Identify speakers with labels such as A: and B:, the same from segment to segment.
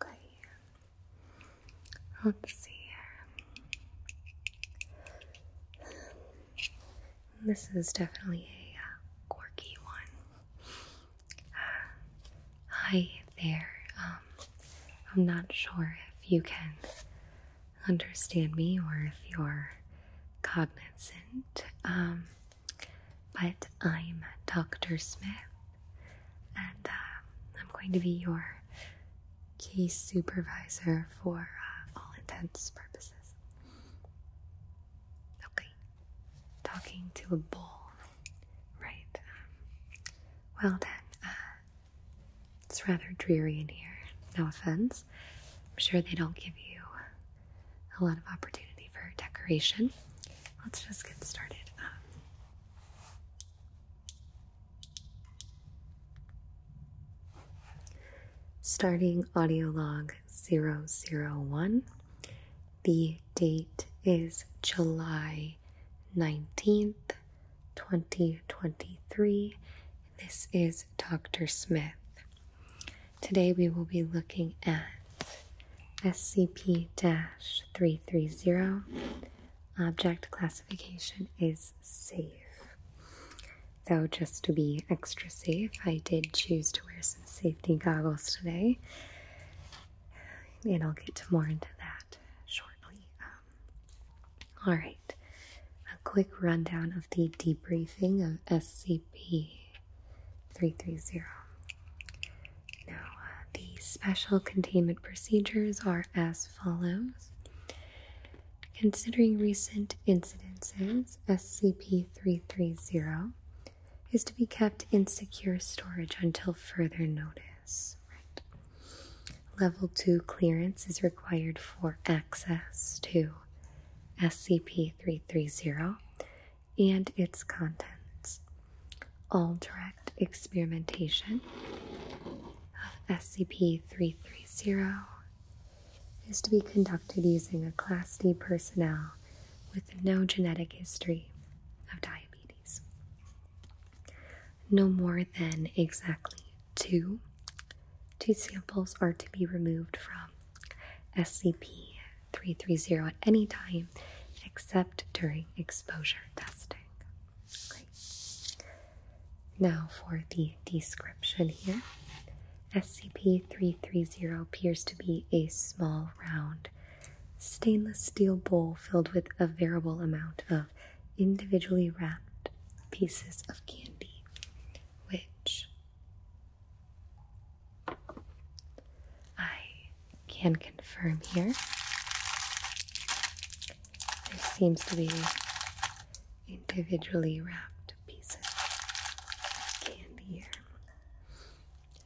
A: Okay. Let's see
B: This is definitely a uh, quirky one. Uh, hi there. Um, I'm not sure if you can understand me or if you're cognizant. Um, but I'm Dr. Smith, and uh, I'm going to be your case supervisor for uh, all intents purposes. Okay, talking to a bull, right? well then, uh, it's rather dreary in here. No offense. I'm sure they don't give you a lot of opportunity for decoration. Let's just get started. Um, starting audio log 001. The date is July 19th, 2023. This is Dr. Smith. Today we will be looking at SCP 330. Object classification is safe. Though, just to be extra safe, I did choose to wear some safety goggles today. And I'll get more into that shortly. Um, all right, a quick rundown of the debriefing of SCP 330. Now, uh, the special containment procedures are as follows. Considering recent incidences, SCP 330 is to be kept in secure storage until further notice. Level 2 clearance is required for access to SCP 330 and its contents. All direct experimentation of SCP 330 is to be conducted using a Class D personnel with no genetic history of diabetes. No more than exactly two. Two samples are to be removed from SCP 330 at any time except during exposure testing. Now, for the description here SCP 330 appears to be a small, round, stainless steel bowl filled with a variable amount of individually wrapped pieces of candy, which I can confirm here. There seems to be individually wrapped pieces of candy here.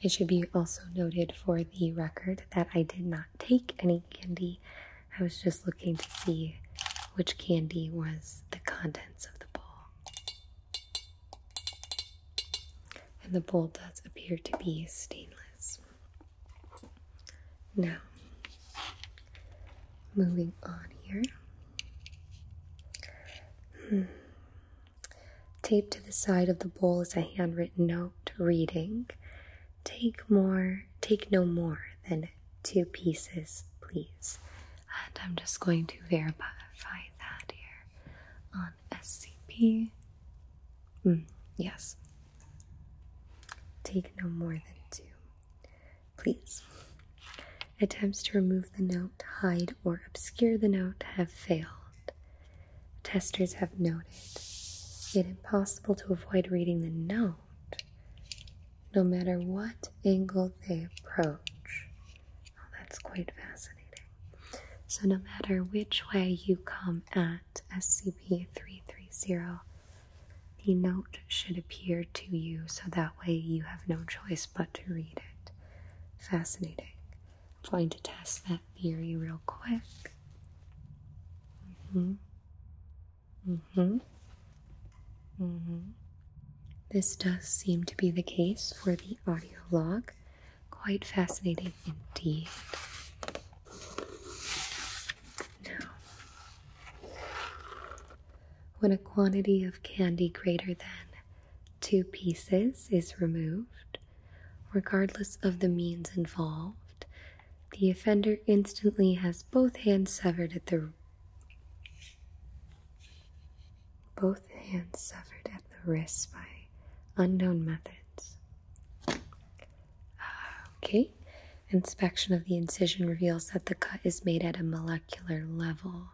B: It should be also noted for the record that I did not take any candy. I was just looking to see which candy was the contents
A: of the bowl
B: and the bowl does appear to be stainless. Now, moving on here. Hmm. Taped to the side of the bowl is a handwritten note reading Take more, take no more than two pieces, please. And I'm just going to verify modify that here on SCP. Mm, yes. Take no more than two. Please. Attempts to remove the note, hide, or obscure the note have failed. Testers have noted it impossible to avoid reading the note no matter what angle they approach. Well, oh, that's quite fascinating. So, no matter which way you come at SCP 330, the note should appear to you so that way you have no choice but to read it. Fascinating. i to test that theory real quick. Mm hmm. Mm hmm. Mm hmm. This does seem to be the case for the audio log. Quite fascinating indeed. Now, when a quantity of candy greater than two pieces is removed, regardless of the means involved, the offender instantly has both hands severed at the both hands suffered at the wrists by unknown methods. Ah, okay, inspection of the incision reveals that the cut is made at a molecular level.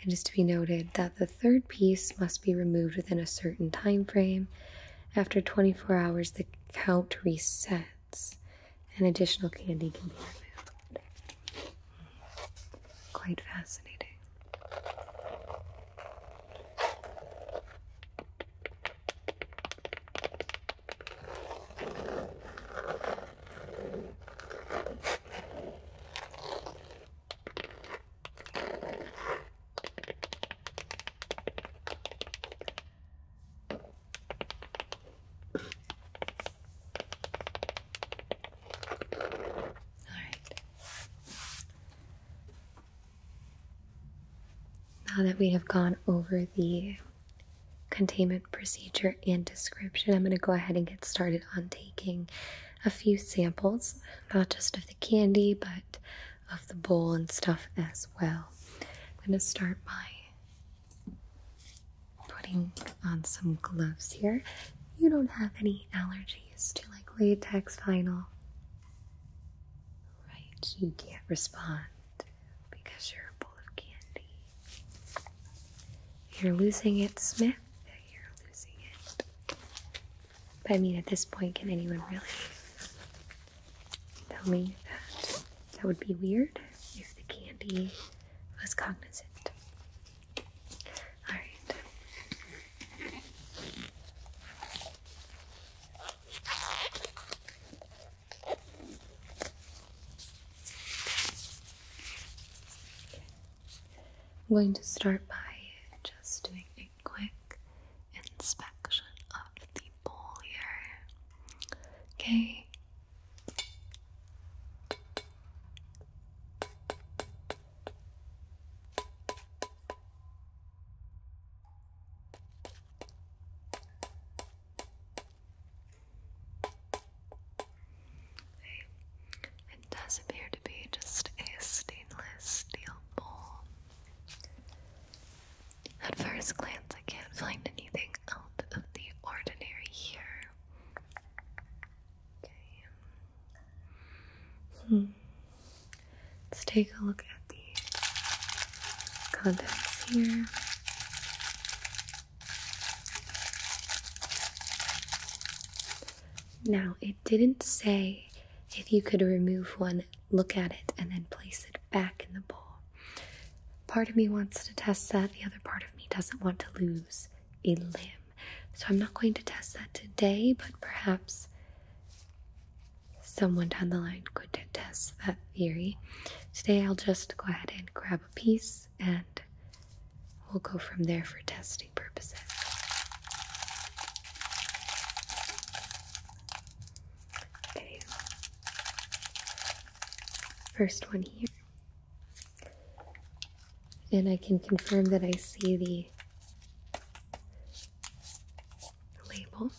B: It is to be noted that the third piece must be removed within a certain time frame. After 24 hours, the count resets and additional candy can be removed. Quite fascinating. Alright. Now that we have gone over the containment procedure and description, I'm going to go ahead and get started on taking a few samples, not just of the candy, but of the bowl and stuff as well. I'm going to start by putting on some gloves here. You don't have any allergies to like latex vinyl. Right, you can't respond because you're a bowl of candy. You're losing it, Smith. You're losing it. I mean, at this point, can anyone really tell me that? That would be weird if the candy was cognizant. All right.
A: I'm going to start by just doing a quick inspection of the bowl here. Okay, it does appear to be just a stainless steel bowl. At first glance, I can't find anything out of the ordinary here. Hmm. Let's take
B: a look at the contacts here. Now, it didn't say if you could remove one, look at it, and then place it back in the bowl. Part of me wants to test that, the other part of me doesn't want to lose a limb. So I'm not going to test that today, but perhaps someone down the line could test that theory. Today I'll just go ahead and grab a piece and we'll go from there for testing purposes. Okay. First one here and I can confirm that I see the label.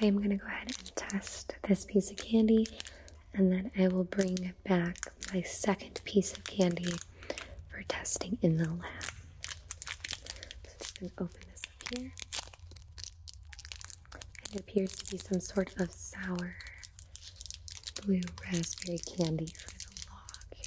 B: I am going to go ahead and test this piece of candy and then I will bring back my second piece of candy for testing in the lab. So I'm just going to open this up here. And it appears to be some sort of sour blue raspberry candy for the log here.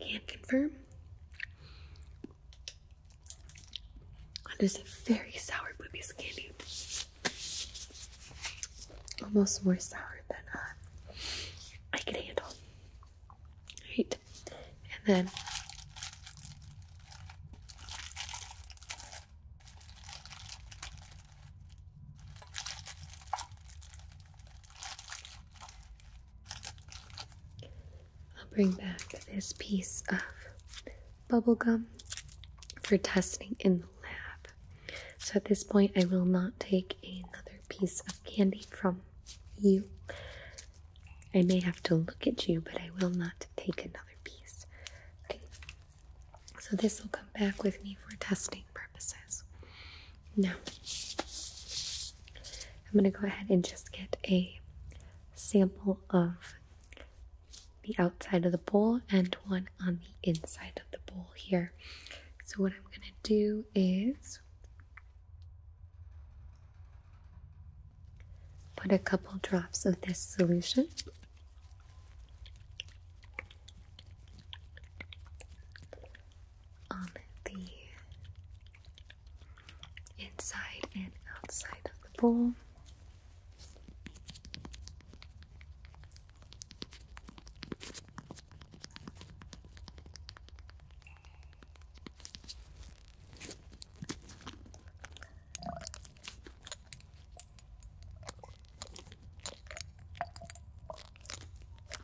A: Can't confirm. That is a very sour boobies candy.
B: Almost more sour than uh, I
A: can handle. Right. And then
B: I'll bring back this piece of bubblegum for testing in the lab. So at this point, I will not take another piece of candy from you. I may have to look at you, but I will not take another piece. so this will come back with me for testing purposes. Now, I'm going to go ahead and just get a sample of the outside of the bowl and one on the inside of the bowl here. So, what I'm going to do is put a couple drops of this solution on the inside and outside of the bowl.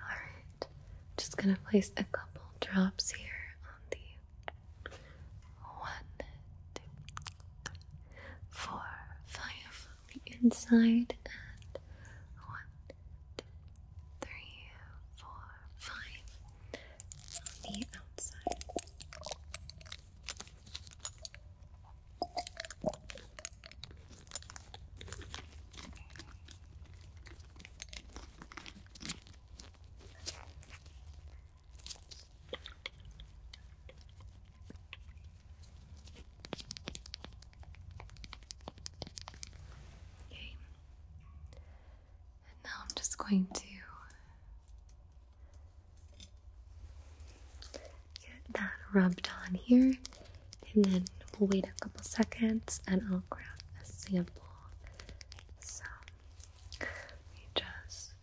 B: Alright, just gonna place a couple drops here on the one, two,
A: three, four, five on the inside, and one, two, three, four, five on the outside.
B: Okay. now I'm just going to get that rubbed on here and then we'll wait a couple seconds and I'll grab a sample. So
A: let just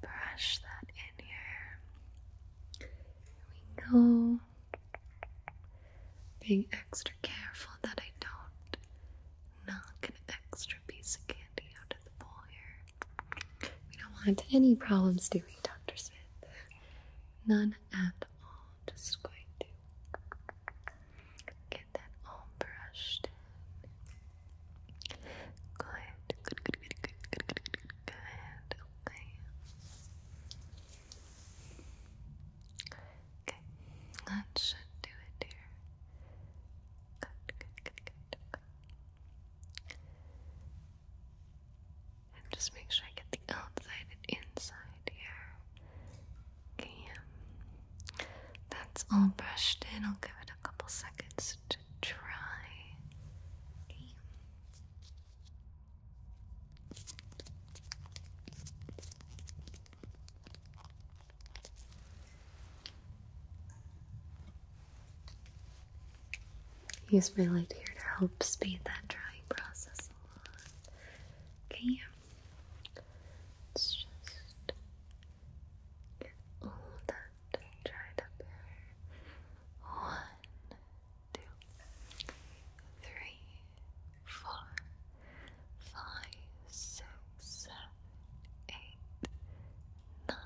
A: brush that in here. There we go. Being extra careful that I don't knock an extra piece of candy out of the bowl
B: here. We don't want any problems, do we, Dr. Smith?
A: None and I'm Just going to get that all brushed in. Good, good, good, good, good, good, good, good, good. Okay. Okay, that should do it, dear. Good, good, good, good. Okay. And just make sure I get the outside and inside here yeah. That's all brushed in. I'll give it a couple seconds to dry.
B: Use my light here to help speed that drying process
A: Okay. Let's just get all that dried up hair. One, two, three, four, five, six, seven, eight, nine.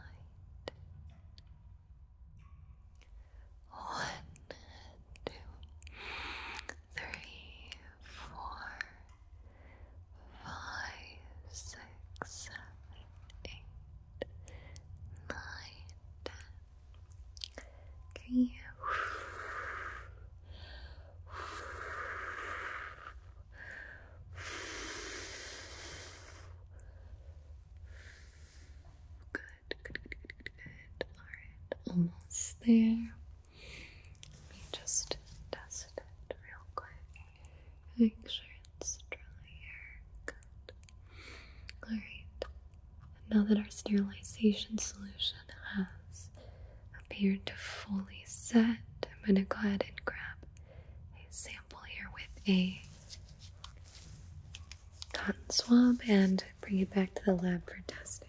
A: One, two, three, four, five, six, seven, eight, nine, ten. you? Good. Good, good, good, good, Alright, almost there. Let me just test it real quick. Make sure it's dry here.
B: Alright, now that our sterilization solution has appeared to fully set, I'm going to go ahead and grab a sample here with a cotton swab and bring it back to the lab for testing.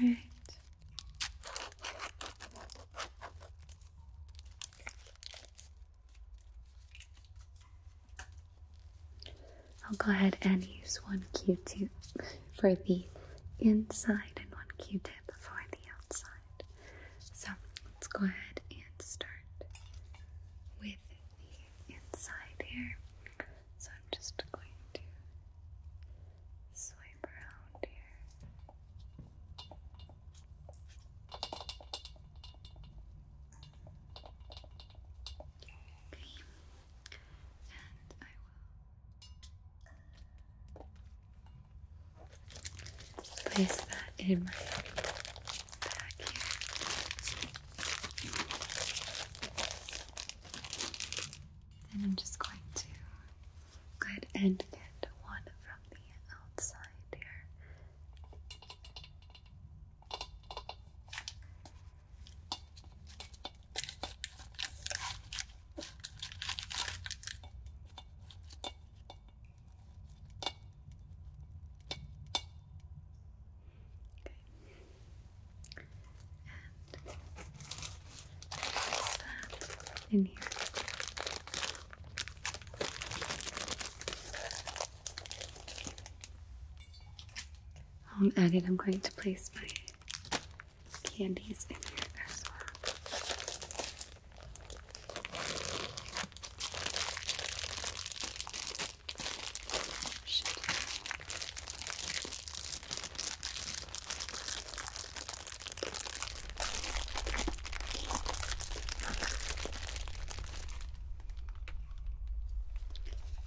B: All right. I'll go ahead and use one Q-tip for the inside and one Q-tip for the outside. So let's go ahead and start with the
A: inside here. So I'm just going to swipe around here. And I will place
B: that in my back here. Then I'm just going to go ahead and get one from the outside here. Okay, in here. I'm adding. I'm going to place my candies in here as well. Shit.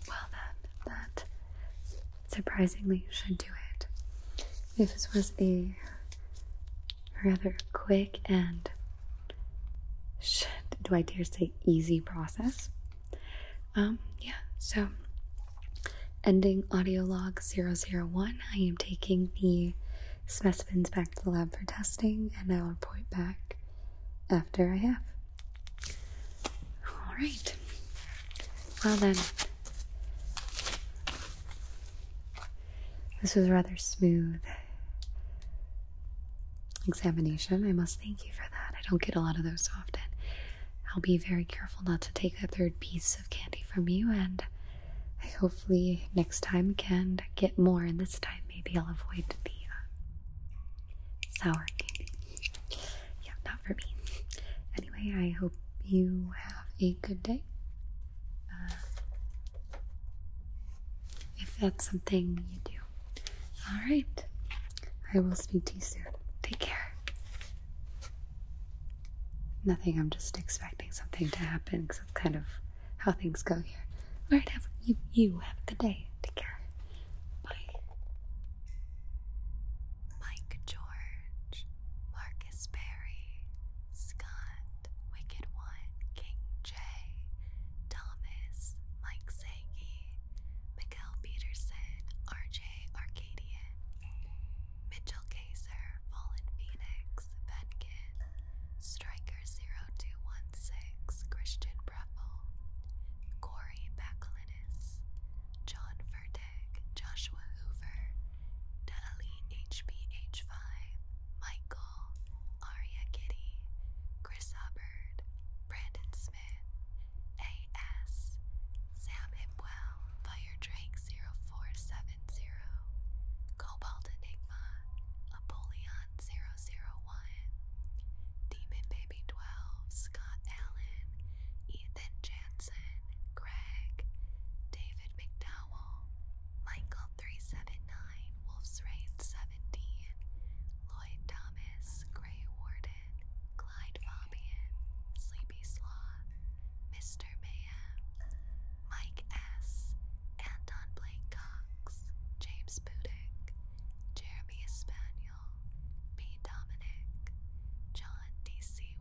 A: Well, then, that
B: surprisingly should do it. This was a rather quick end do I dare say, easy process. Um, yeah, so ending audio log 001, I am taking the specimens back to the lab for testing and I'll report back after I have. All right. Well then, this was rather smooth examination. I must thank you for that. I don't get a lot of those often. I'll be very careful not to take a third piece of candy from you, and hopefully next time can get more. And this time, maybe I'll avoid the uh, sour candy. Yeah, not for me. Anyway, I hope you have a good day. Uh, if that's something you do, all right. I will speak to you soon. Take care. Nothing, I'm just expecting something to happen because that's kind of how things go here. All right, have you, you
A: have a good day. Take care. Bye. Mike George, Marcus Berry, Scott, Wicked One, King J, Thomas, Mike C. Hagee, Miguel Peterson, RJ Arcadia, Mitchell Kaiser, Fallen Phoenix, Venkin, Striker0216, Christian Breffel, Corey Bakalinis, John Fertig, Joshua Hoover, Dali HBH5, Michael Aria Kitty, Chris Hubbard, Brandon Smith, A.S., Sam Hipwell, Fire Drake 0470, Cobalt Enigma, Apollyon 001, Demon Baby 12, Scott Allen, Ethan Jansen, Greg, David McDowell, Michael 379, Wolf's Raid 17, Lloyd Thomas, Grey Warden, Clyde Fabian, Sleepy Sloth, Mr. Mayhem, Mike S., Anton Blake Cox, James Budick, Jeremy Espaniel, P. Dominic, John DC1.